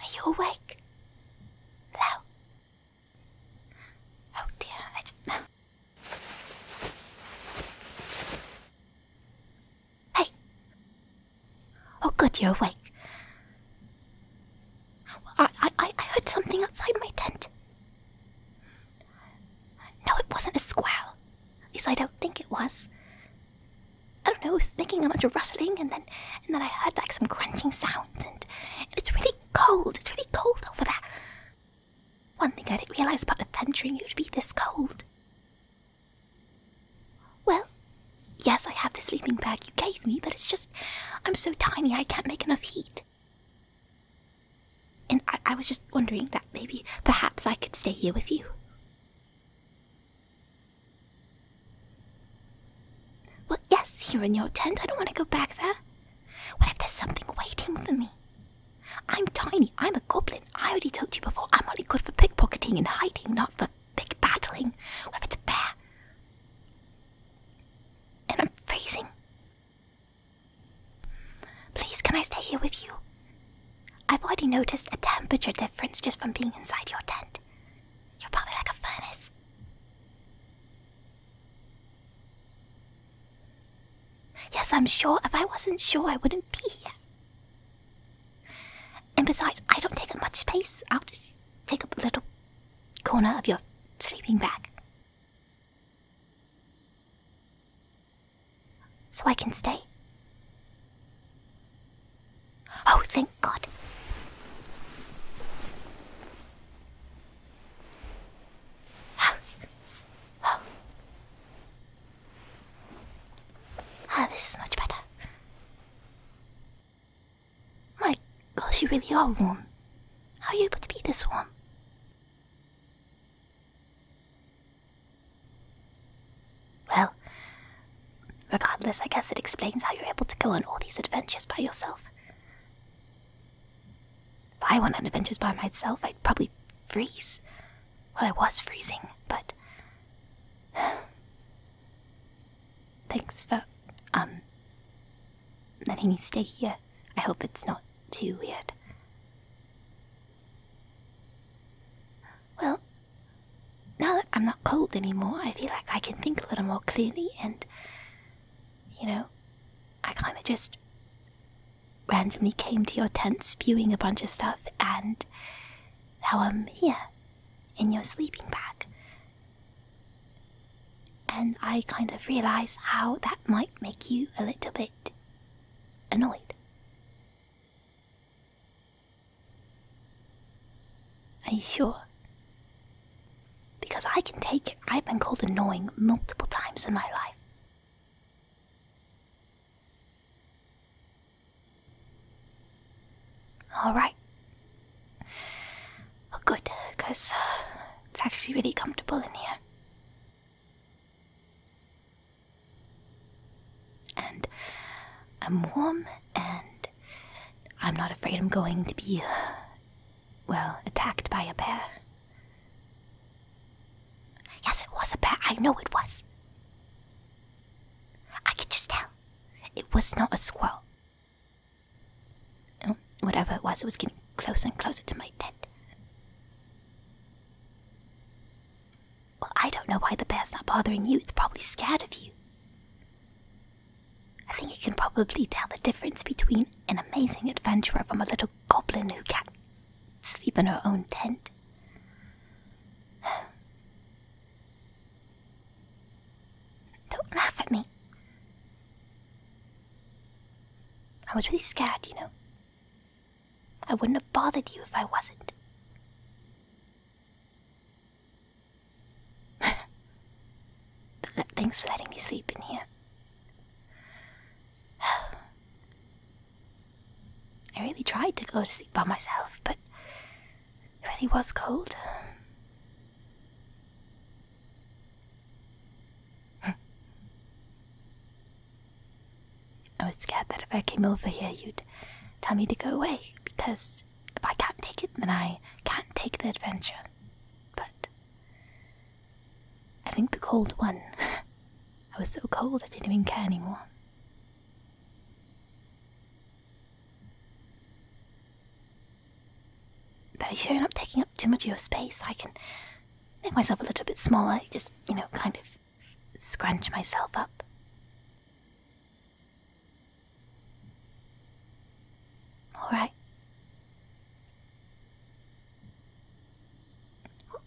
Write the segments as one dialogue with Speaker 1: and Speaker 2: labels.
Speaker 1: Are you awake? Hello? Oh dear, I Hey! Oh good, you're awake. I, I, I heard something outside my tent. No, it wasn't a squirrel. At least I don't think it was. I don't know, It's making a bunch of rustling and then and then I heard like some crunching sounds and it's really cold. It's really cold over there. One thing I didn't realize about adventuring, it would be this cold. Well, yes, I have the sleeping bag you gave me, but it's just I'm so tiny I can't make enough heat. And I was just wondering that maybe perhaps I could stay here with you. Well, yes, here in your tent. I don't want to go back there. What if there's something waiting for me? I'm tiny. I'm a goblin. I already told you before. I'm only good for pickpocketing and hiding, not for big battling. What if it's a bear? And I'm freezing. Please, can I stay here with you? I've already noticed a temperature difference just from being inside your tent. You're probably like a furnace. Yes, I'm sure. If I wasn't sure, I wouldn't be here. And besides, I don't take up much space. I'll just take up a little corner of your sleeping bag. So I can stay? Oh, thank God. Ah, oh. ah this is much better. My gosh, you really are warm. How are you able to be this warm? Well, regardless, I guess it explains how you're able to go on all these adventures by yourself. If I went on adventures by myself, I'd probably freeze. Well, I was freezing, but. Thanks for, um, letting me stay here. I hope it's not too weird. Well, now that I'm not cold anymore, I feel like I can think a little more clearly, and you know, I kind of just randomly came to your tent spewing a bunch of stuff, and now I'm here in your sleeping bag. And I kind of realize how that might make you a little bit annoyed. Are you sure? Because I can take it. I've been called annoying multiple times in my life. Alright. Oh, good, because uh, it's actually really comfortable in here. And I'm warm and I'm not afraid I'm going to be, uh, well, attacked by a bear. Yes, it was a bear. I know it was. I could just tell. It was not a squirrel. Oh, whatever it was, it was getting closer and closer to my tent. Well, I don't know why the bear's not bothering you. It's probably scared of you. I think you can probably tell the difference between an amazing adventurer from a little goblin who can't sleep in her own tent. Don't laugh at me. I was really scared, you know. I wouldn't have bothered you if I wasn't. Thanks for letting me sleep in here. I really tried to go to sleep by myself, but it really was cold. I was scared that if I came over here, you'd tell me to go away, because if I can't take it, then I can't take the adventure. But I think the cold won. I was so cold I didn't even care anymore. But I showing up taking up too much of your space, I can make myself a little bit smaller, just, you know, kind of scrunch myself up. All right.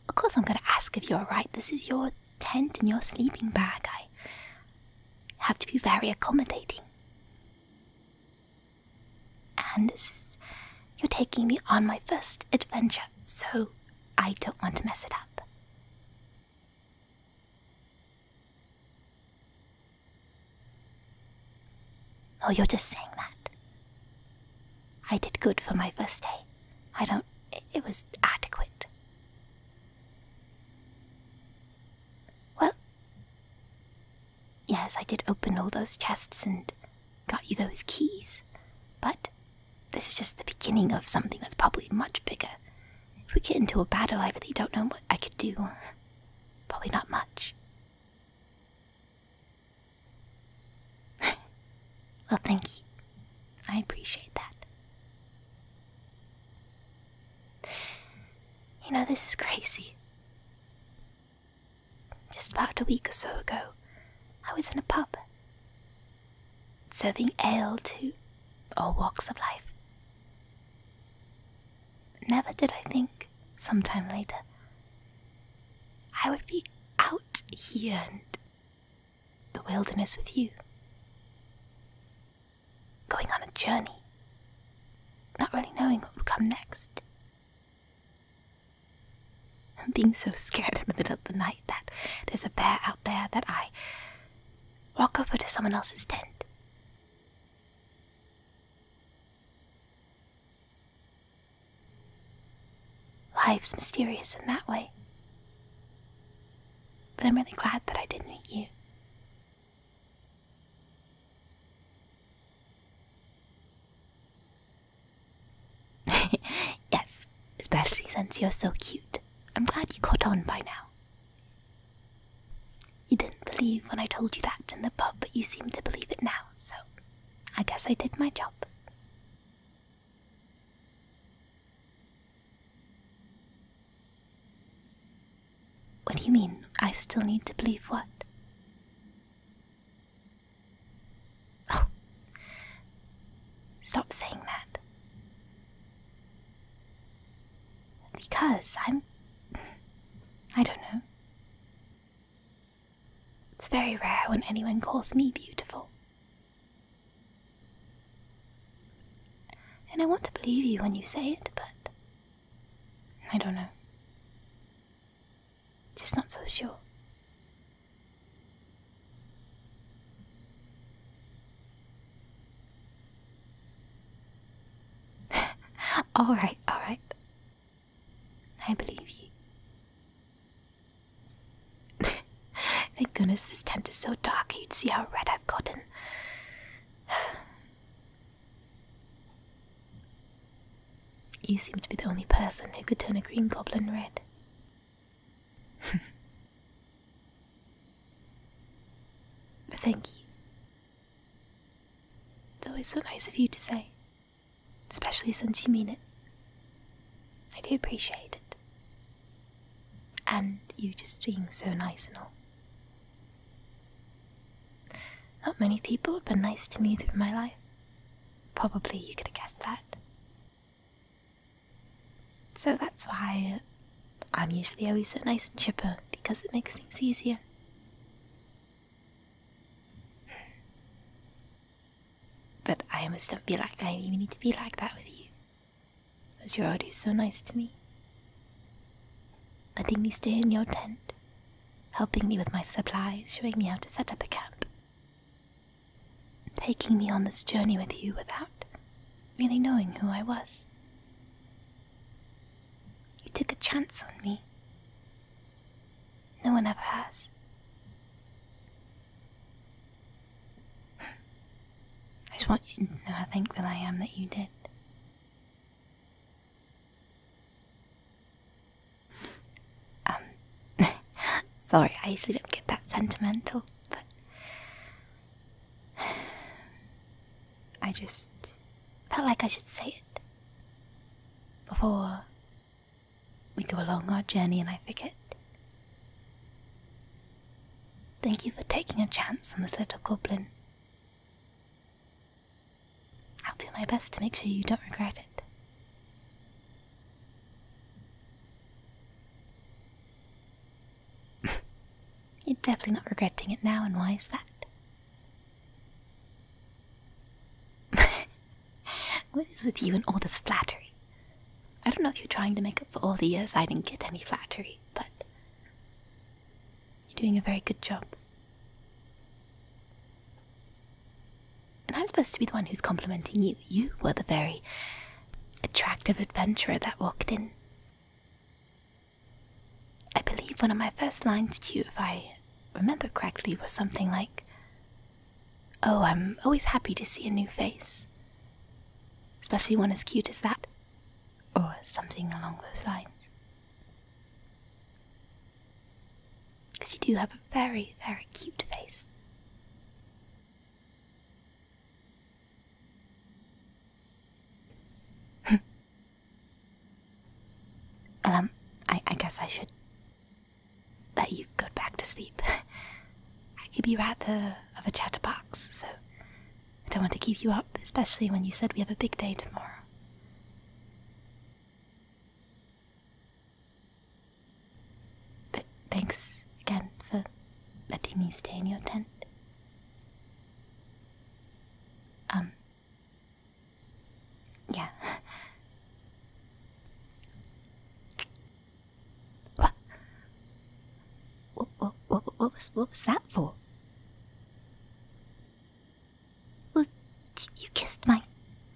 Speaker 1: of course, I'm going to ask if you're all right. This is your tent and your sleeping bag. I have to be very accommodating. And you're taking me on my first adventure, so I don't want to mess it up. Oh, you're just saying that. I did good for my first day. I don't. It, was adequate. Well, yes, I did open all those chests and got you those keys, but this is just the beginning of something that's probably much bigger. If we get into a battle, I really don't know what I could do. Probably not much. well, thank you. I appreciate that. You know, this is crazy. Just about a week or so ago, I was in a pub serving ale to all walks of life. Never did I think, some time later, I would be out here in the wilderness with you. Going on a journey, not really knowing what would come next. I'm being so scared in the middle of the night that there's a bear out there that I walk over to someone else's tent. Life's mysterious in that way. But I'm really glad that I did not meet you. yes, especially since you're so cute. I'm glad you caught on by now. You didn't believe when I told you that in the pub, but you seem to believe it now, so I guess I did my job. What do you mean? I still need to believe what? Oh, stop saying that. Because I'm. I don't know. It's very rare when anyone calls me beautiful. And I want to believe you when you say it, but. I don't know. Just not so sure. all right, all right. I believe you. Thank goodness this tent is so dark, you'd see how red I've gotten. you seem to be the only person who could turn a green goblin red. Thank you. It's always so nice of you to say, especially since you mean it. I do appreciate it. And you just being so nice and all. Not many people have been nice to me through my life. Probably you could have guessed that. So that's why I'm usually always so nice and chipper because it makes things easier. But I must not be like I even need to be like that with you, as you're always so nice to me. Letting me stay in your tent, helping me with my supplies, showing me how to set up a camp taking me on this journey with you without really knowing who I was. You took a chance on me. No one ever has. I just want you to know how thankful I am that you did. Um, sorry, I usually don't get that sentimental, but I just felt like I should say it before we go along our journey and I forget. Thank you for taking a chance on this little goblin. I'll do my best to make sure you don't regret it. You're definitely not regretting it now, and why is that? what is with you and all this flattery? I don't know if you're trying to make up for all the years I didn't get any flattery, but you're doing a very good job. And I'm supposed to be the one who's complimenting you. You were the very attractive adventurer that walked in. I believe one of my first lines to you, if I remember correctly, was something like, Oh, I'm always happy to see a new face, especially one as cute as that, or something along those lines. Because you do have a very, very cute face. well, um, I, guess I should let you go back to sleep. I could be rather of a chatterbox, so I don't want to keep you up, especially when you said we have a big day tomorrow. But thanks again for letting me stay in your tent. Um. Yeah. What? What, what, what, was, what was that for? Well, you kissed my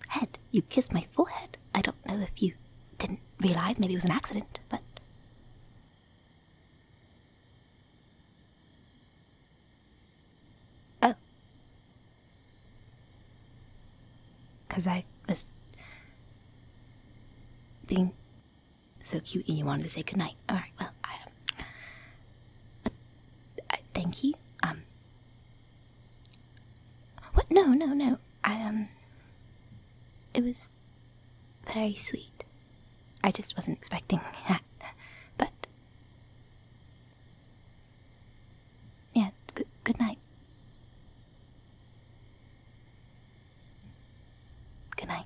Speaker 1: head. You kissed my forehead. I don't know if you didn't realize. Maybe it was an accident, but. Because oh. I was being so cute and you wanted to say goodnight. Alright, well, um, I, thank you. Um, what? No, no, no. I, um. It was very sweet. I just wasn't expecting that. But. Yeah, good, good night. Good night.